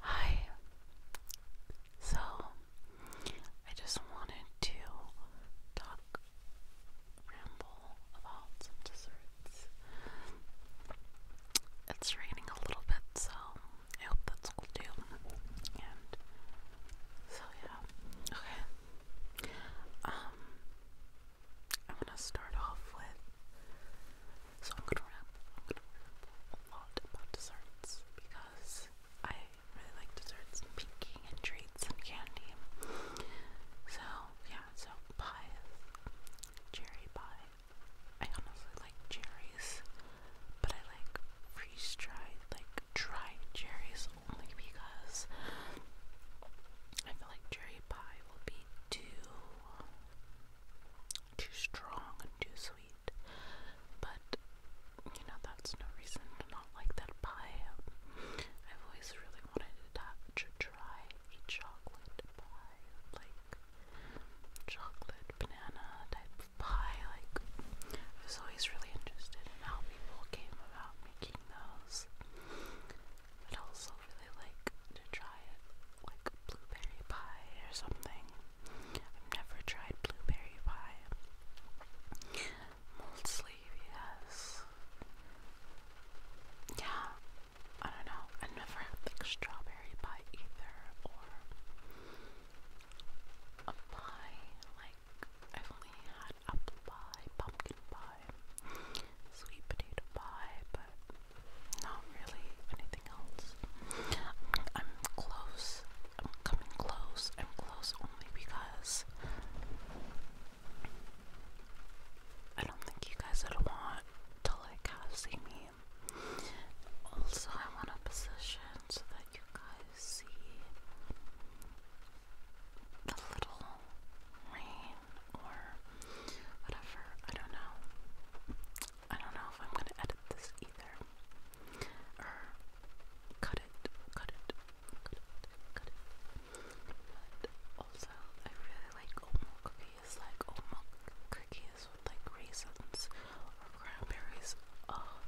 Hi. So, I just wanted to talk, ramble about some desserts. It's raining a little bit, so I hope that's cool too. And so, yeah. Okay. Um, I want to start off with so I'm gonna rap, a lot about desserts because I really like desserts and baking and treats and candy. So yeah, so pies, cherry pie. I honestly like cherries, but I like freeze dried, like dried cherries only because I feel like cherry pie will be too too strong and too sweet. But you know, that's no reason to not like that pie. I've always really wanted to, try a chocolate pie, like chocolate banana type pie. Like, I was always really interested in how people came about making those. But also really like to try it like blueberry pie or something. I've never tried blueberry pie. Mold sleeve, yes. Yeah, I don't know. I've never had like strawberry pie either, or a pie. Like, I've only had apple pie, pumpkin pie, sweet potato pie, but not really anything else. I'm, close. I'm coming close. I'm close only because I don't think you guys would want to like see me. Also, I want a position so that you guys see the little rain or whatever. I don't know. I don't know if I'm gonna edit this either. Or cut it, cut it, cut it, also, I really like oat cookies, like oat cookies with like raisins or cranberries. Oh,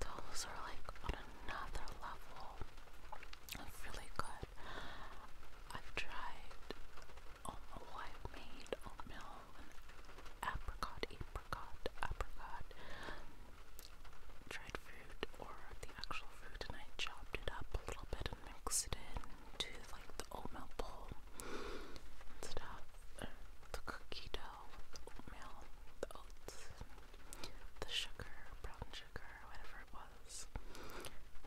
those are like on another level. It's really good. I've tried oh, i made oatmeal and apricot, apricot, apricot, dried fruit or the actual fruit, and I chopped it up a little bit and mixed it into like the oatmeal bowl stuff, the cookie dough with the oatmeal, the oats, the sugar, brown sugar, whatever it was.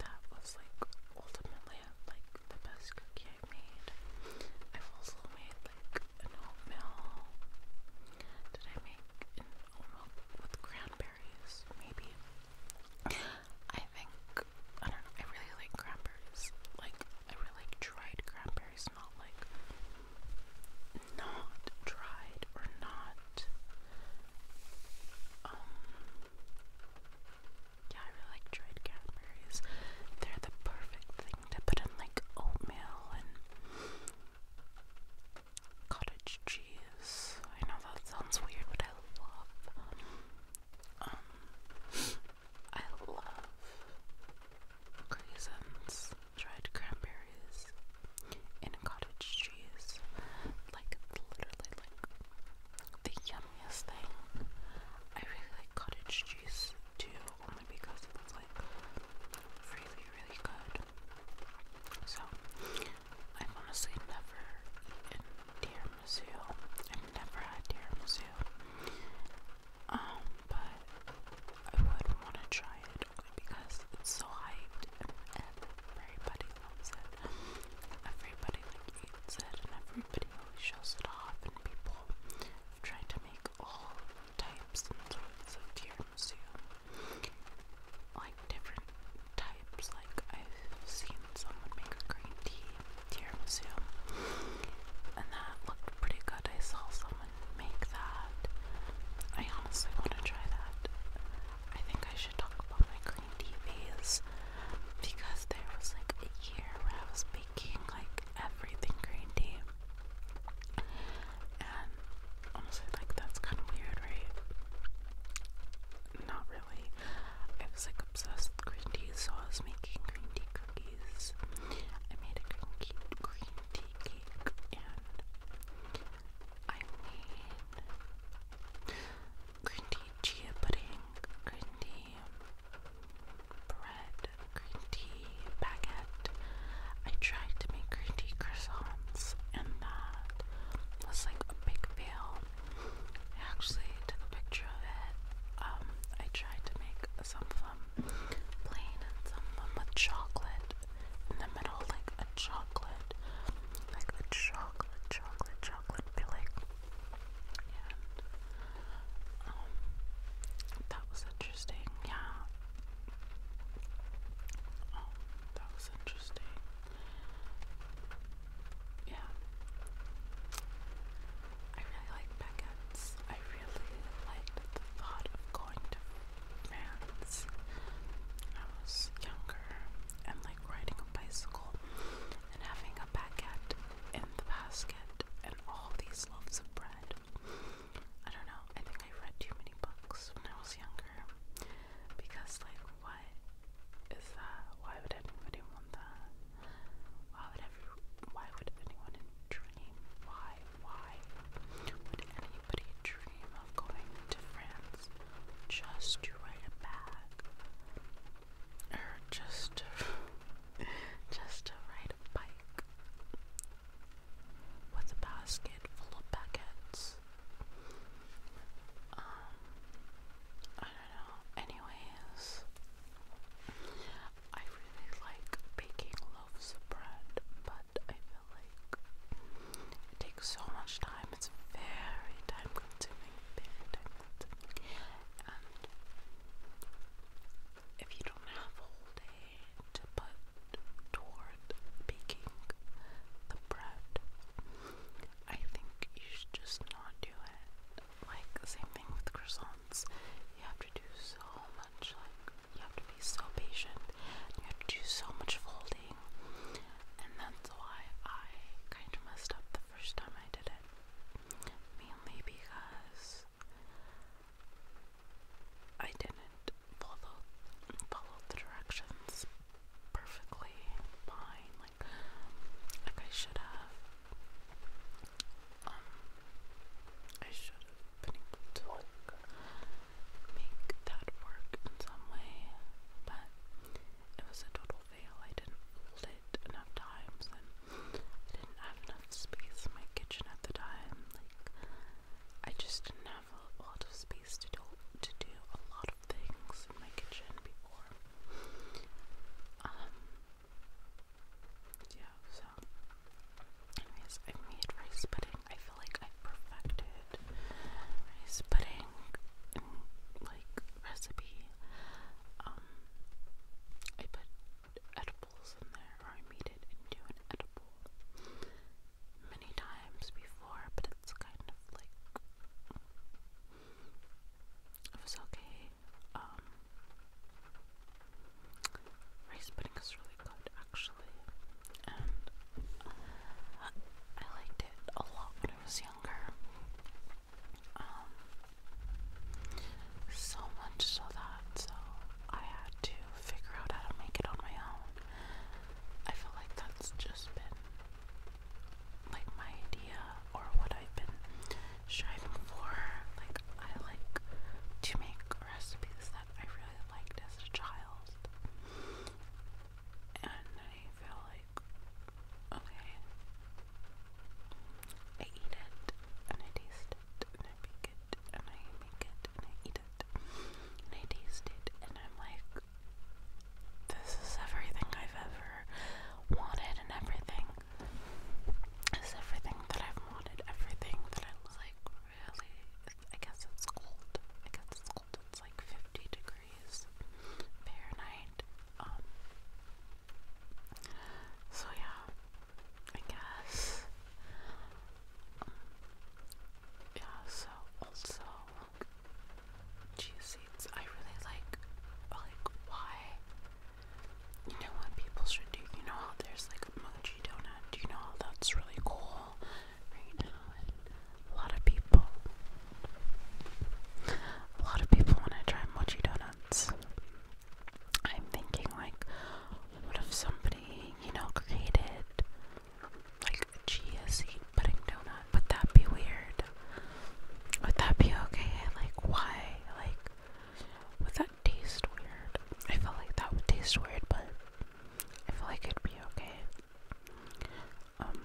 That was like ultimately like the best cookie I made. i also made like an oatmeal. Did I make an oatmeal with cranberries? Maybe. I think I don't know. I really like cranberries. Like I really like dried cranberries, not like not dried or not. Um, yeah, I really like dried cranberries. They're the perfect thing to put in like oatmeal and cottage cheese. I know that sounds weird, but I love um I love raisins, dried cranberries in cottage cheese. Like literally like the yum funniest thing. I really like cottage cheese too, only because it's like really, really good. So, I've honestly never eaten tiramisu. I've never had tiramisu. Um, but I would want to try it only because it's so hyped and everybody loves it. Everybody everybody, like Aiden said, and everybody always shows it off, and people have tried to make all types and sorts of tiramisu, like different types. Like I've seen someone make a green tea tiramisu, and that looked pretty good. I saw someone make that. I honestly want to try that. I think I should talk about my clean TVs because there was like a year where I was making like everything green tea. And honestly, like that's kind of weird, right? Not really. I was like obsessed with green tea, so I was making green tea cookies. I made a green tea, green tea cake, and I made green tea pudding, green tea bread, green tea, baguette. I tried to make green tea croissants, and that was like a big fail. I actually took a picture of it. Um, I tried to make some of them plain and some of them with chocolate in the middle, like a chocolate, like a chocolate, chocolate, chocolate filling. And um, that was interesting. Yeah. Oh, that was interesting. Yeah. I really like Beckett's. I really liked the thought of going to France. When I was younger and like riding a bicycle and having a baguette in the basket and all these loaves of bread. I don't know, I think I read too many books when I was younger because, like, what is that? Why would anybody want that? Why would, every, why would anyone dream? Why, why would anybody dream of going to France just to write a bag? or just to, just to ride a bike with a basket full of packets. Um, I don't know. Anyways, I really like baking loaves of bread, but I feel like it takes so much time. It's very time consuming if you don't have a day to put toward baking the bread, I think you should just not do it. Like the same thing with croissants. You have to do so much like you have to be so patient. You have to do so much folding. And that's why I kind of messed up the first time I did it mainly because I didn't follow follow the directions perfectly fine. Like like I should have. Um, I should have been able to make that work in some way, but it was a total fail. I didn't fold it enough times, and I didn't have enough space in my kitchen at the time. Like, I just didn't have a lot of space to do to do a lot of things in my kitchen before. Um, yeah. So, anyways, I made rice pudding. I feel like I perfected rice pudding, like recipe. Um, I put edibles in there, or I made it into an edible many times before, but it's kind of like it was okay. Um, rice pudding is really good, actually, and I liked it a lot when I was younger. Um, so much so that so I had to figure out how to make it on my own. I feel like that's just been like my idea or what I've been striving for. Like I like to make recipes that I really liked as a child. And I feel okay. I eat it, and I taste it, and I bake it, and I make it, and I eat it, and I taste it, and I'm like, this is everything I've ever wanted, and everything is everything that I've wanted, everything that I like, really. I guess it's cold. I guess it's cold. It's like 50 degrees Fahrenheit. Um, so yeah, I guess. Um, yeah, so also cheese seeds. I really like like why you know what people should do. You know how there's like a mochi donut. Do you know how that's really cool right now? And a lot of people a lot of people want to try mochi donuts. I'm thinking, like, what if somebody, you know, created like a chia seed pudding donut? Would that be weird? Would that be okay? Like, why? Like, would that taste weird? I feel like that would taste weird, but I feel like it'd be okay. Um,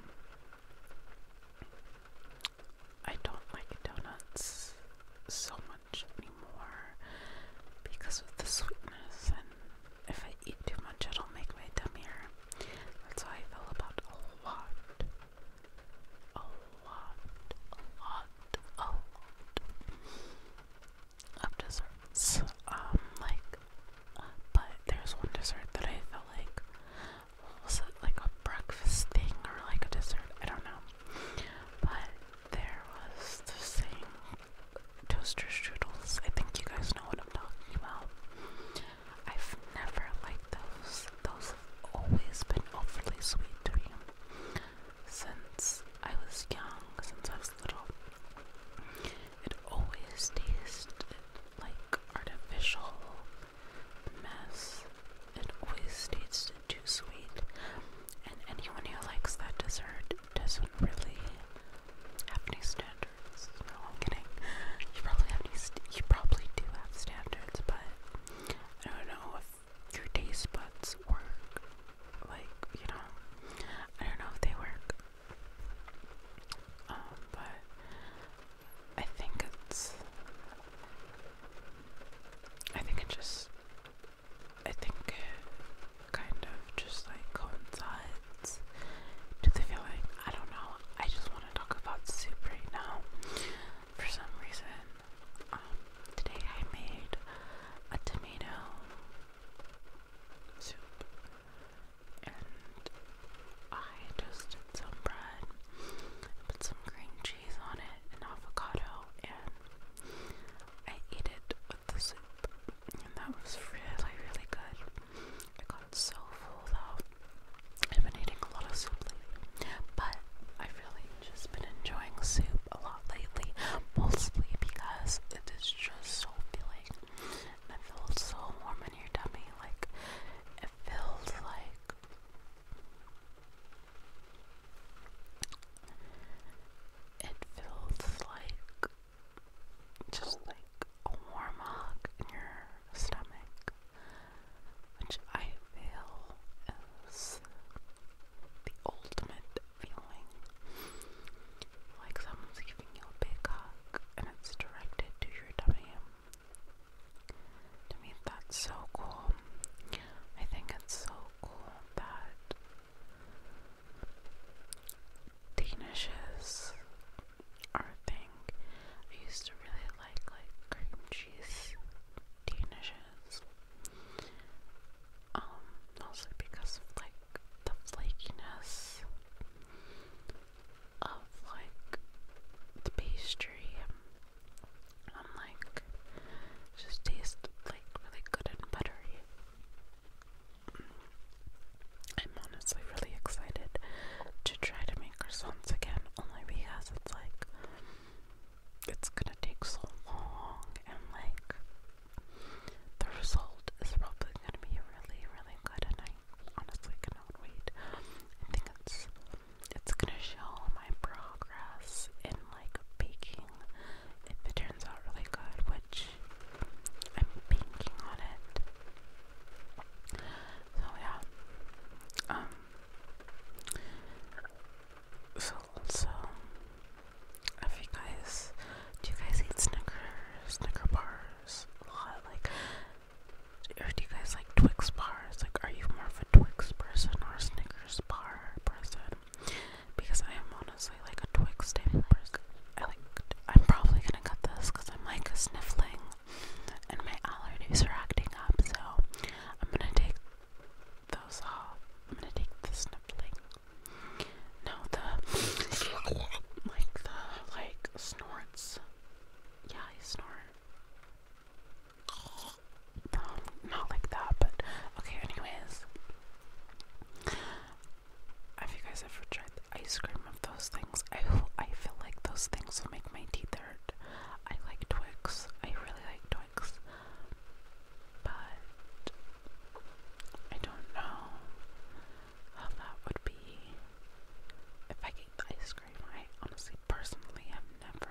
I don't like donuts so much anymore because of the sweetness, and if I eat too much, it'll make my dummier. That's how I feel about a lot, a lot, a lot, a lot of desserts. Um, like, but there's one dessert that I feel like was it like a breakfast thing or like a dessert? I don't know. But there was the same toaster strudels. I think you guys know what I'm talking about. I've never liked those. Those have always been overly sweet to me since I was young, since I was little. It always tasted like artificial mess. and always tastes too sweet, and anyone who likes that dessert doesn't really have any standards. No, kidding. You probably have you probably do have standards, but I don't know if your taste buds work. Like you know, I don't know if they work. Um, but I think it's I think it just, I think it kind of just like coincides to the feeling. I don't know. I just want to talk about soup right now. For some reason, um, today I made a tomato soup and I toasted some bread Put some green cheese on it and avocado, and I ate it with the soup, and that was really, really good. I got so full though. I've been eating a lot of soup lately, but I've really just been enjoying soup a lot lately, mostly because it is just so filling. And it so warm in your tummy, like it feels like it feels like just like a warm hug in your stomach, which I feel is the ultimate feeling. Like someone's giving you a big hug and it's directed to your tummy. To me, that's so cool. I think it's so cool that Danishes are a thing. I used to really like like cream cheese Danishes. Um, mostly because of like the flakiness of like the pastry I'm like, it just tastes like really good and buttery. I'm honestly really excited to try to make croissants again, only because it's like, it's gonna take so long, and like, the result is probably gonna be really, really good, and I honestly cannot wait. I think it's it's gonna show my progress in like baking if it turns out really good, which I'm banking on it. So yeah. Um so if you guys do you guys eat Snicker Snicker bars a lot? Like do you guys like Twix bars? Like, are you more of a Twix person or a Snickers bar person? Because I am honestly like a Twix type person. I like. I'm probably gonna cut this because I'm like sniffling, and my allergies are acting up. So I'm gonna take those off. I'm gonna take the sniffling. No, the like the like snorts. Yeah, I snort not like that, but okay, anyways. Have you guys ever tried ice cream of those things? I, I feel like those things will make my teeth hurt. I like Twix. I really like Twix. But I don't know how that would be if I ate the ice cream. I honestly personally have never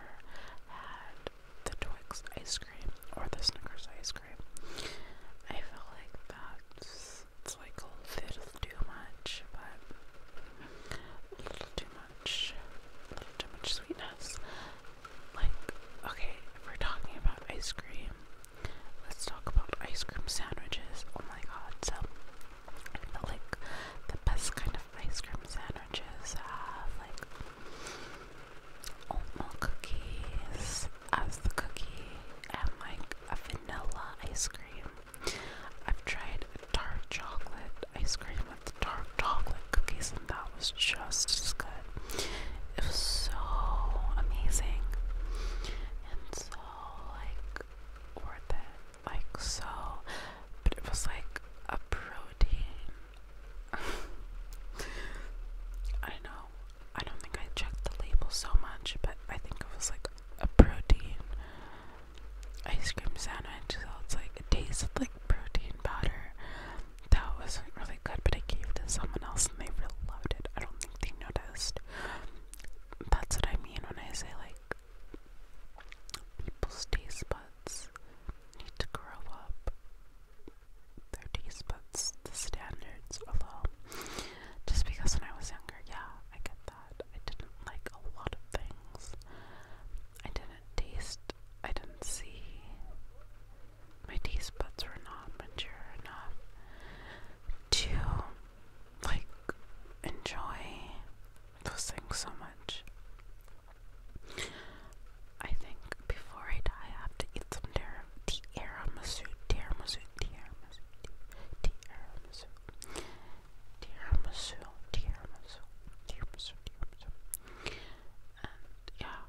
had the Twix ice cream or the Snickers ice cream. I feel like that's a little too much, but a little too much, a little too much sweetness. Like, okay, we're talking about ice cream, let's talk about ice cream sandwiches. Oh my god, so like the best kind of ice cream sandwiches have like oatmeal cookies as the cookie and like a vanilla ice cream. I've tried dark chocolate ice cream with dark chocolate cookies and that was just as good. It was so amazing and so like worth it like so, but it was like a protein. I know. I don't think I checked the label so much, but I think it was like a protein ice cream sandwich. So it's like it tasted like protein powder. That wasn't really good, but I gave it to someone else and they really loved it. I don't think they noticed. That's what I mean when I say like People's taste buds need to grow up. Their taste buds, the standards are low. Just because when I was younger, yeah, I get that. I didn't like a lot of things. I didn't taste, I didn't see. My taste buds were not mature enough to, like, enjoy those things so much. I think before I die, I have to eat some tiramisu, tiramisu, tiramisu, tiramisu, tiramisu, tiramisu, tiramisu, tiramisu. And yeah,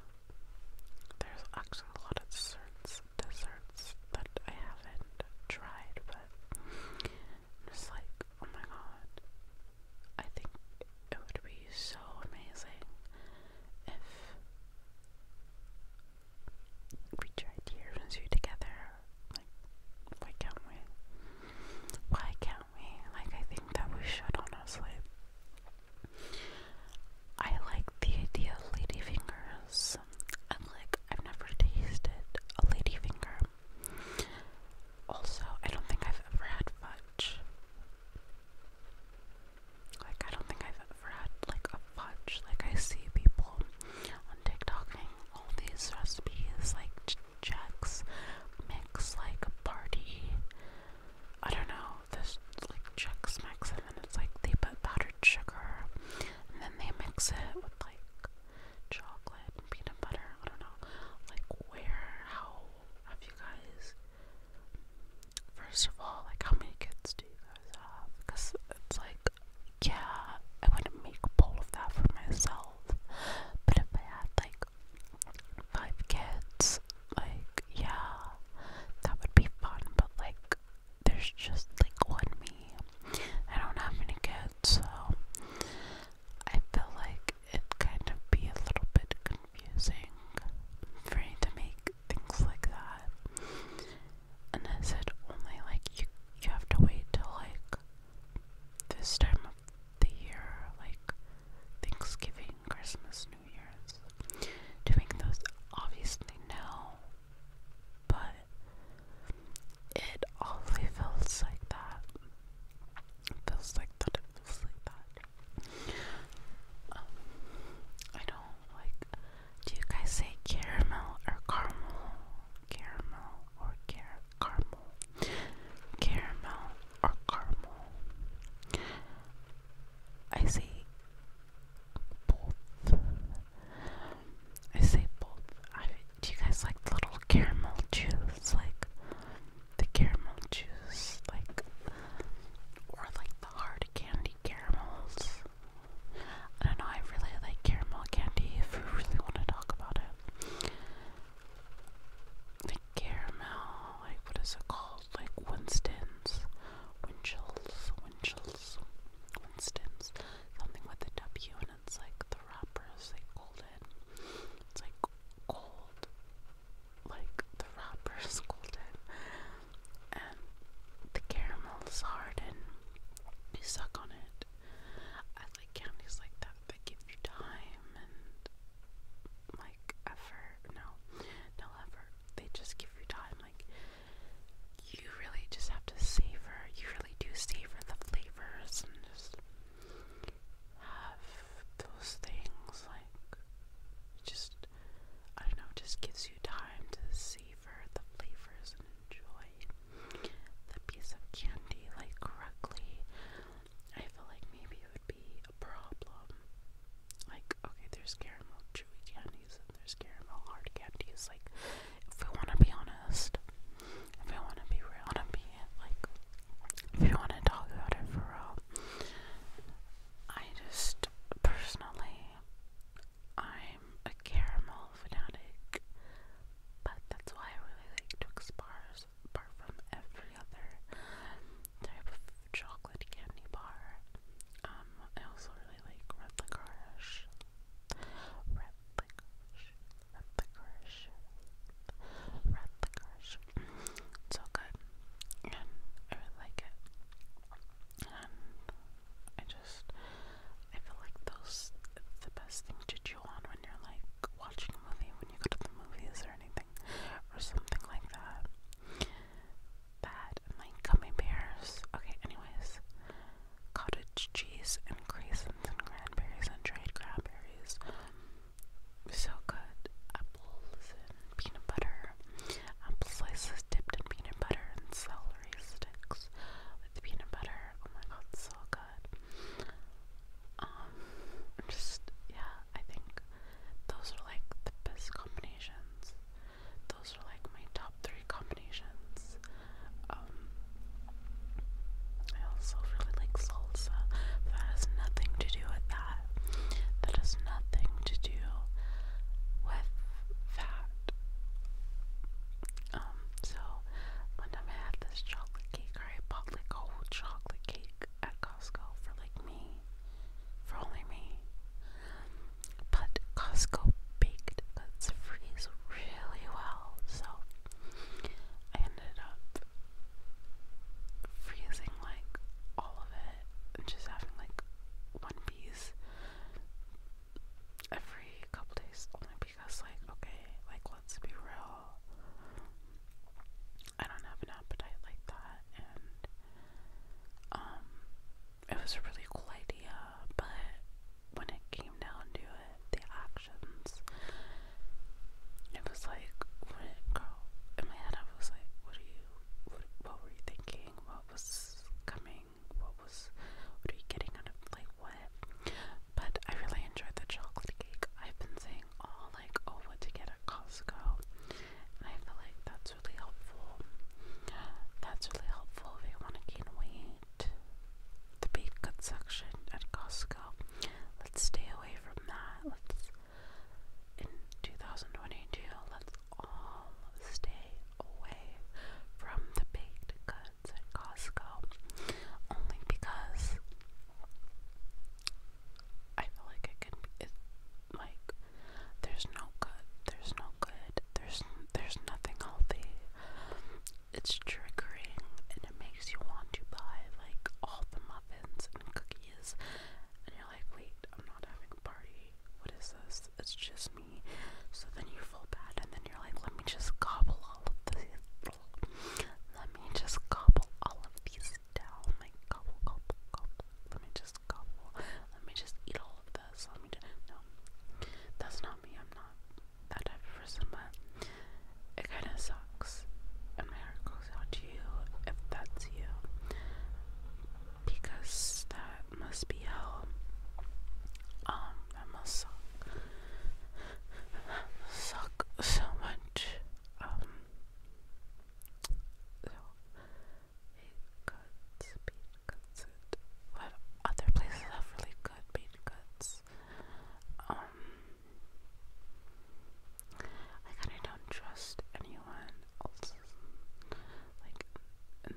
there's actually a lot of desserts, desserts that I haven't tried, but it's like, oh my god. I think it would be so amazing if we tried years together. Like, why can't we? Why can't we? Like, I think that we should, honestly. I like the idea of ladyfingers. And, like, I've never tasted a ladyfinger. Also, I don't think I've ever had fudge. Like, I don't think I've ever had, like, a fudge. Like, I see people on TikTok making all these recipes, like, ch mix, like, party. I don't know, this, like, checks mix, and then it's like they put powdered sugar, and then they mix it with, like, chocolate peanut butter. I don't know. Like, where, how have you guys, first of all, like, how many kids do you guys have? Because it's like, yeah, I wouldn't make a bowl of that for myself. But if I had, like, five kids, like, yeah, that would be fun. But, like, there's just, like, one me. I don't have any kids, so I feel like it kind of be a little bit confusing for me to make things like that. And I said only like you you have to wait till like this time of the year, like Thanksgiving, Christmas, New Year's, to make those obviously no, but it always feels like that feels like that, feels like that. Um, I do like, do you guys say caramel or caramel? Caramel or car caramel? Caramel or caramel? I say both. I say both. Do you guys like little caramel juice? Like the caramel juice, like or like the hard candy caramels. I don't know, I really like caramel candy if we really want to talk about it. The caramel, like what is it called? Like Winston's, Winchell's, Winchell's, Winston's, something with a W and it's like the wrapper is like golden. It's like gold. Like the wrapper is golden. And the caramel is hard and you suck on it. I like candies like that that give you time and like effort. No, no effort. They just give you time. Like you really just have to savor. You really do savor the flavors and just have those things like just I don't know, just gives you time to savor the flavors and enjoy the piece of candy like correctly. I feel like maybe it would be a problem. Like, okay, there's caramel chewy candies and there's caramel hard candies. Like, if we want to be honest, if you wanna be real to be like if you wanna talk about it for real. I just personally I'm a caramel fanatic. But that's why I really like Twix bars apart from every other type of chocolate candy bar. Um, I also really like red licorice. Red licorice. Rutgers, Rutgers. so good, and I really like it. And I just, I feel like those, the best thing to chew on when you're like watching a movie, when you go to the movies or anything, or something like that. That and like gummy bears. Okay, anyways, cottage cheese and crazy raisins and cranberries and dried cranberries. So good. Apples and peanut butter. Apple slices dipped in peanut butter and celery sticks with peanut butter. Oh my god, so good. Um, just, yeah, I think those are like the best combinations. Those are like my top three combinations um, I also really like salsa. that has nothing to do with that. That has nothing to do with that. Um, so one time I had this chocolate cake, or I chocolate cake at Costco for like me. For only me. But Costco baked goods freeze really well, so I ended up freezing like all of it and just having like one piece every couple days only because like okay like let's be real I don't have an appetite like that and um it was a really cool idea but when it came down to the actions. It was like, girl, in my head I was like, what are you, what, were you thinking? What was coming? What was, what are you getting out of, like, what? But I really enjoyed the chocolate cake. I've been saying all, like, over to get at Costco. And I feel like that's really helpful. That's really helpful if you want to gain weight the beef cut section at Costco. Let's stay away from that. Let's in 2022, let's all stay away from the baked goods at Costco. Only because I feel like it can be it, like there's no good, there's no good, there's there's nothing healthy it's triggering and it makes you want to buy like all the muffins and cookies and you're like wait I'm not having a party what is this it's just me so then you feel bad and then you're like let me just gobble all of these let me just gobble all of these down like gobble gobble gobble let me just gobble let me just eat all of this let me just no that's not me I'm not that type of person, but it kind of sucks. And my heart goes out to you if that's you, because that must be hell. Um, that must suck. suck so much. Um, so it cuts, bean What other places have really good bean cuts? Um, I kind of don't trust anyone else, like an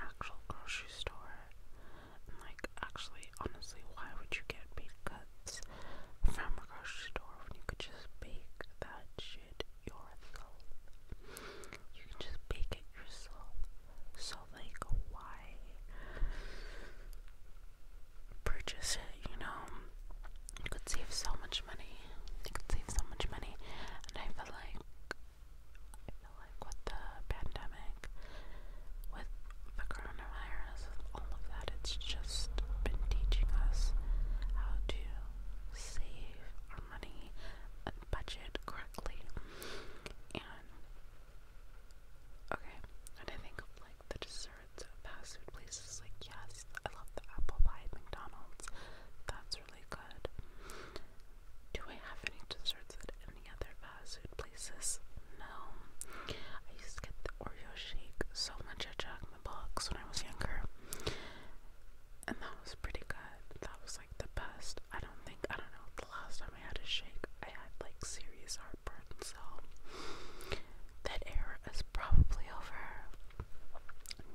actual grocery store. like, actually, honestly, why would you get baked goods from a grocery store when you could just bake that shit yourself? You can just bake it yourself. So like, why? purchase it, you know. You could save so much money. You could save so much money. And I feel like I feel like with the pandemic, with the coronavirus, with all of that, it's just been teaching us how to save our money and budget correctly. And okay, and I think of like the desserts at fast food places. Like, yes, I love the apple pie at McDonald's. That's really good. Do I have any desserts at any other fast food places? No. I used to get the Oreo shake so much I Jack my the Box when I was younger. And that was pretty good. That was like the best. I don't think, I don't know, the last time I had a shake, I had like serious heartburn, so that era is probably over.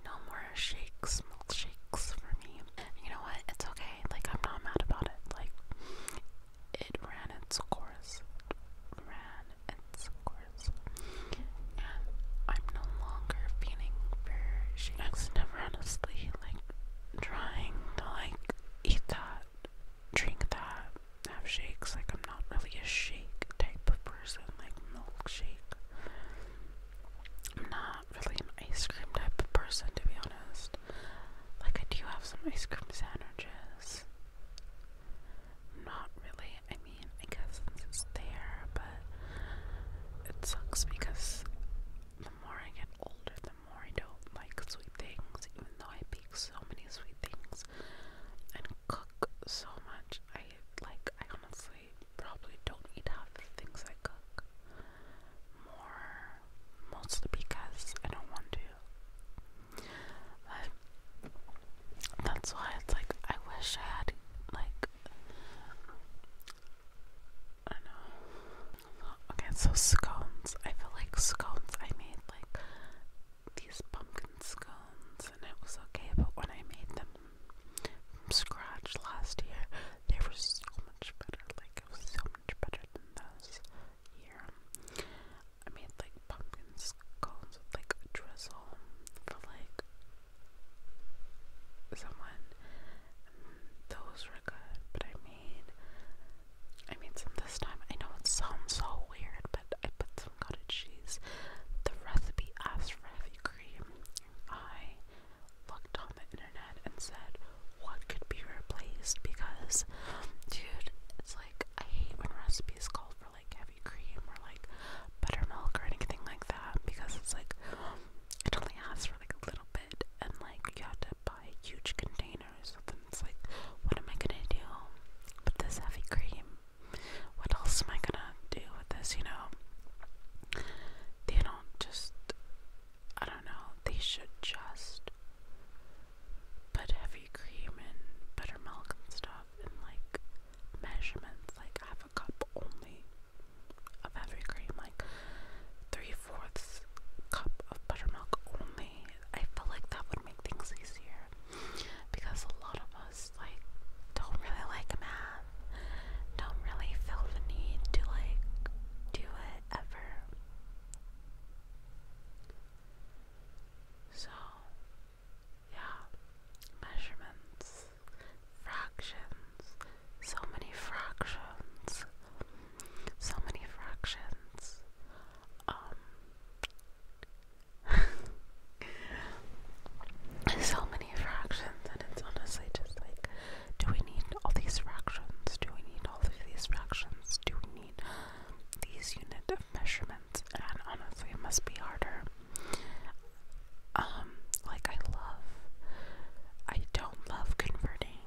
No more shakes, milkshakes for me. You know what? It's okay. Like, I'm not mad about it. Like, it ran its course. ran its course. And I'm no longer feeling for shakes. never honestly, like, trying to, like, eat that drink that, have shakes. Like, I'm not really a shake type of person, like milkshake. I'm not really an ice cream type of person, to be honest. Like, I do have some ice cream sandwiches. Not really. I mean, I guess since it's there, but it sucks because the more I get older, more I don't like sweet things, even though I bake so many sweet things and cook so much. I like, I honestly probably don't eat half the things I cook more, mostly because I don't want to. But that's why it's like, I wish I had, like, I know. Okay, so scones. I feel like scones I made like these pumpkin scones, and it was okay, but when I made them from scratch last year, they were so much better. Like, it was so much better than those here. I made like pumpkin scones with like drizzle for like someone. And those were good, but I made I made some this time. I know it sounds so weird, but I put some cottage cheese. The recipe asked for heavy cream. I looked on the internet and said, what could be replaced? Because, dude, it's like, I hate when recipes call for like heavy cream or like buttermilk or anything like that because it's like, it only asks for like a little bit and like you have to buy huge containers of it's like, what am I gonna do with this heavy cream? What else am I gonna do with this? You know, they don't just, I don't know, they should just put heavy cream and buttermilk and stuff in like measurements, like half a cup only of heavy cream, like three fourths cup of buttermilk only, I feel like that would make things easier because a lot of us like don't really like math, don't really feel the need to like do it ever. So yeah, measurements, fractions, so many fractions, so many fractions. Um, so many fractions, and it's honestly just like, do we need all these fractions? Do we need all of these fractions? Do we need these unit of measurements? And honestly, it must be harder. Um, like I love, I don't love converting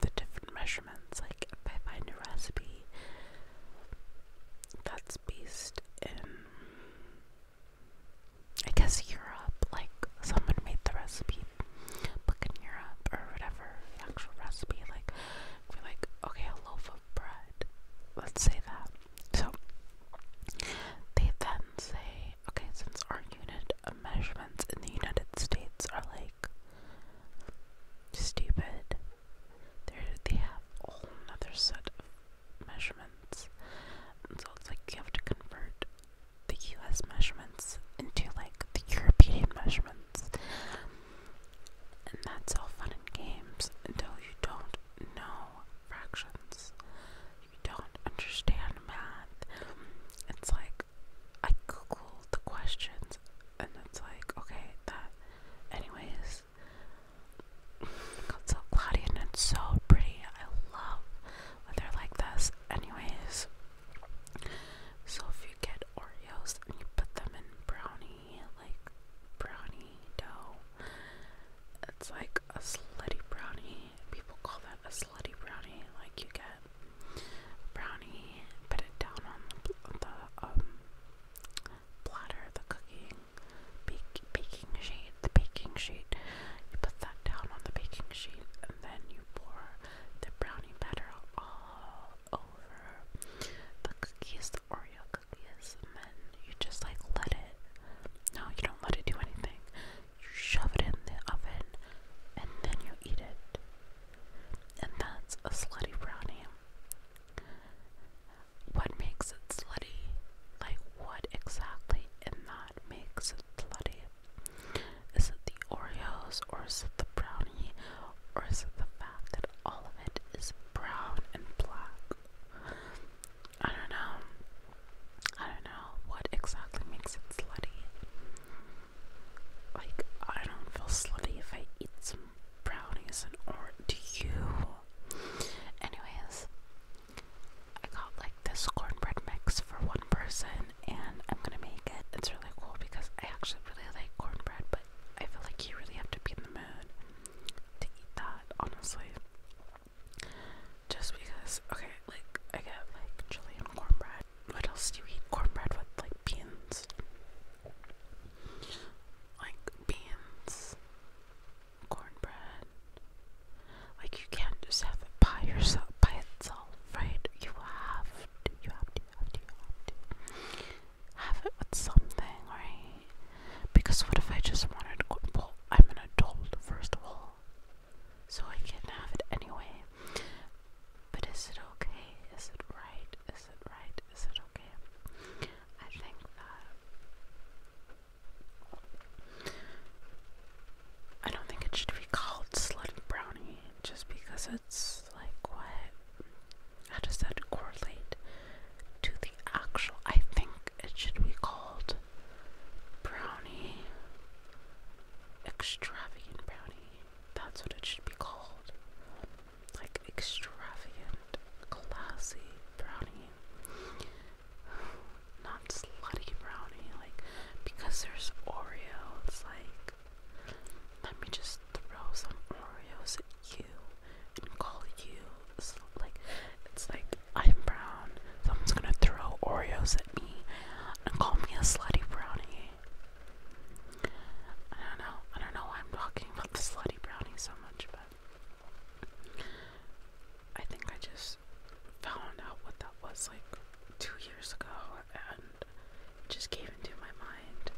the different measurements. Like if I find a recipe that's based in, I guess Europe, like someone made the recipe book in Europe or whatever, the actual recipe. Like like, okay, a loaf of bread. Let's say that. So they then say, okay, since our unit of measurements in the United States are like stupid, there they have a whole other set of measurements. And so it's like you have to convert the US measurements into like the European measurements. And that's all fun and games until you don't know fractions. You don't understand math. It's like I googled the questions and it's like, okay, that. Anyways, it's so cloudy and it's so pretty. I love weather like this. Anyways, so if you get Oreos and you put them in brownie, like brownie dough, it's like a slutty brownie. People call that a slutty brownie. Like you get brownie, put it down on the, um, platter, the cooking, baking sheet, the baking sheet. You put that down on the baking sheet and then you pour the brownie batter all over the cookies, the Oreo cookies, and then you just like let it. No, you don't let it do anything. You shove it in the oven and then you eat it. And that's a slutty brownie. What makes it slutty? Like, what exactly in that makes it slutty? Is it the Oreos, or is it the brownie, or is it the fact that all of it is brown and black? I don't know. I don't know what exactly makes it slutty. Like, I don't feel slutty if I eat some brownies and or do you? Anyways, I got like this cornbread mix for one person and I'm gonna make it. It's really cool because I actually really like cornbread, but I feel like you really have to be in the mood to eat that, honestly. Just because, okay, like I get like chili and cornbread. What else do you eat cornbread with? Like beans like beans, cornbread. Like you can't just have it by yourself, by itself, right? You have to, you have to, you have to, you have to have it with something, right? Because what if I just wanted? Well, I'm an adult, first of all, so I can have it anyway. But is it okay? Is it right? Is it right? Is it okay? I think that I don't think it should be called brownie just because it's like what how does that correlate to the actual I think it should be called brownie extravagant brownie that's what it should be called like extravagant, classy brownie. Not slutty brownie, like because there's Oreo, like let me just throw some Oreos at you and call you like it's like I'm brown. Someone's gonna throw Oreos at me and call me a slutty brownie. I don't know. I don't know why I'm talking about the slutty brownie so much, but I think I just found out what that was like two years ago and it just came into my mind.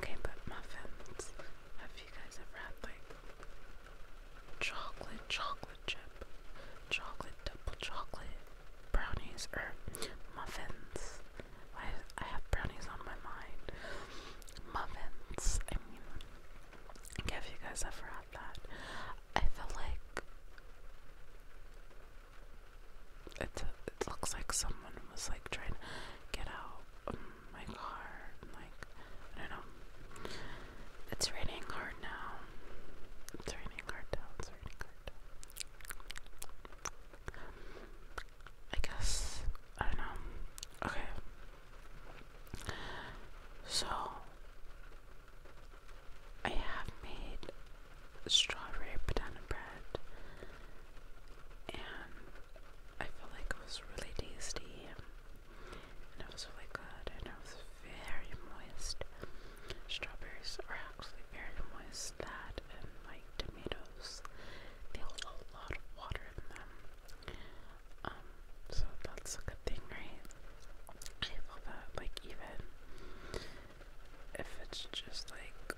Okay, but muffins. Have you guys ever had like chocolate, chocolate chip, chocolate, double chocolate brownies or muffins? I, I have brownies on my mind. Muffins. I mean, I guess you guys ever had that. I feel like it's it looks like someone was like trying to get out of my car. like I don't know. It's raining hard now. It's raining hard now. It's raining hard I guess. I don't know. Okay. So, I have made strawberry banana bread, and I feel like it was really tasty, and it was really good, and it was very moist. Strawberries are actually very moist, that and like tomatoes, they hold a lot of water in them. Um, so that's a good thing, right? I love that. Like even if it's just like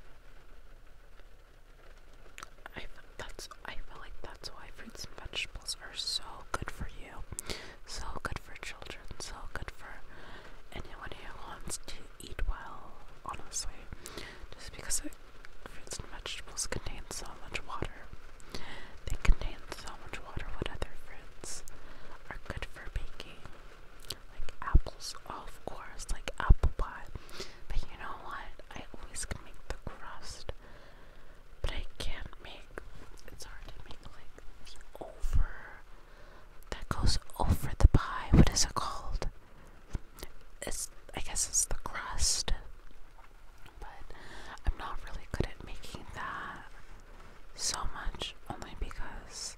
I that's I feel like that's why fruits and vegetables are so good for you, so good for children, so good for anyone who wants to eat well, honestly, just because fruits and vegetables contain so much water. They contain so much water what other fruits are good for baking. Like apples, of course, like apple pie. But you know what? I always can make the crust, but I can't make, it's hard to make like the over, that goes over the pie. What is it called? it's, I guess it's the crust, but I'm not really good at making that so much only because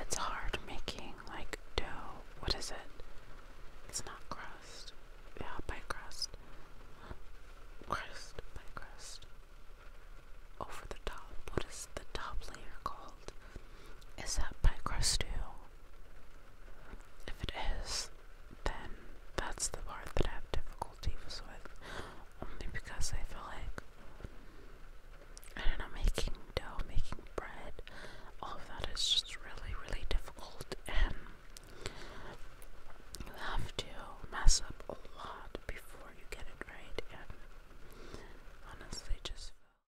it's hard making like dough. What is it? It's not crust. Yeah, pie crust. Crust, pie crust. Over the top. What is the top layer called? Is that by Crustoo? If it is, then that's the part that I have difficulty with. Only because I feel like I don't know, making dough, making bread, all of that is just really, really difficult and you have to mess up a lot before you get it right and honestly just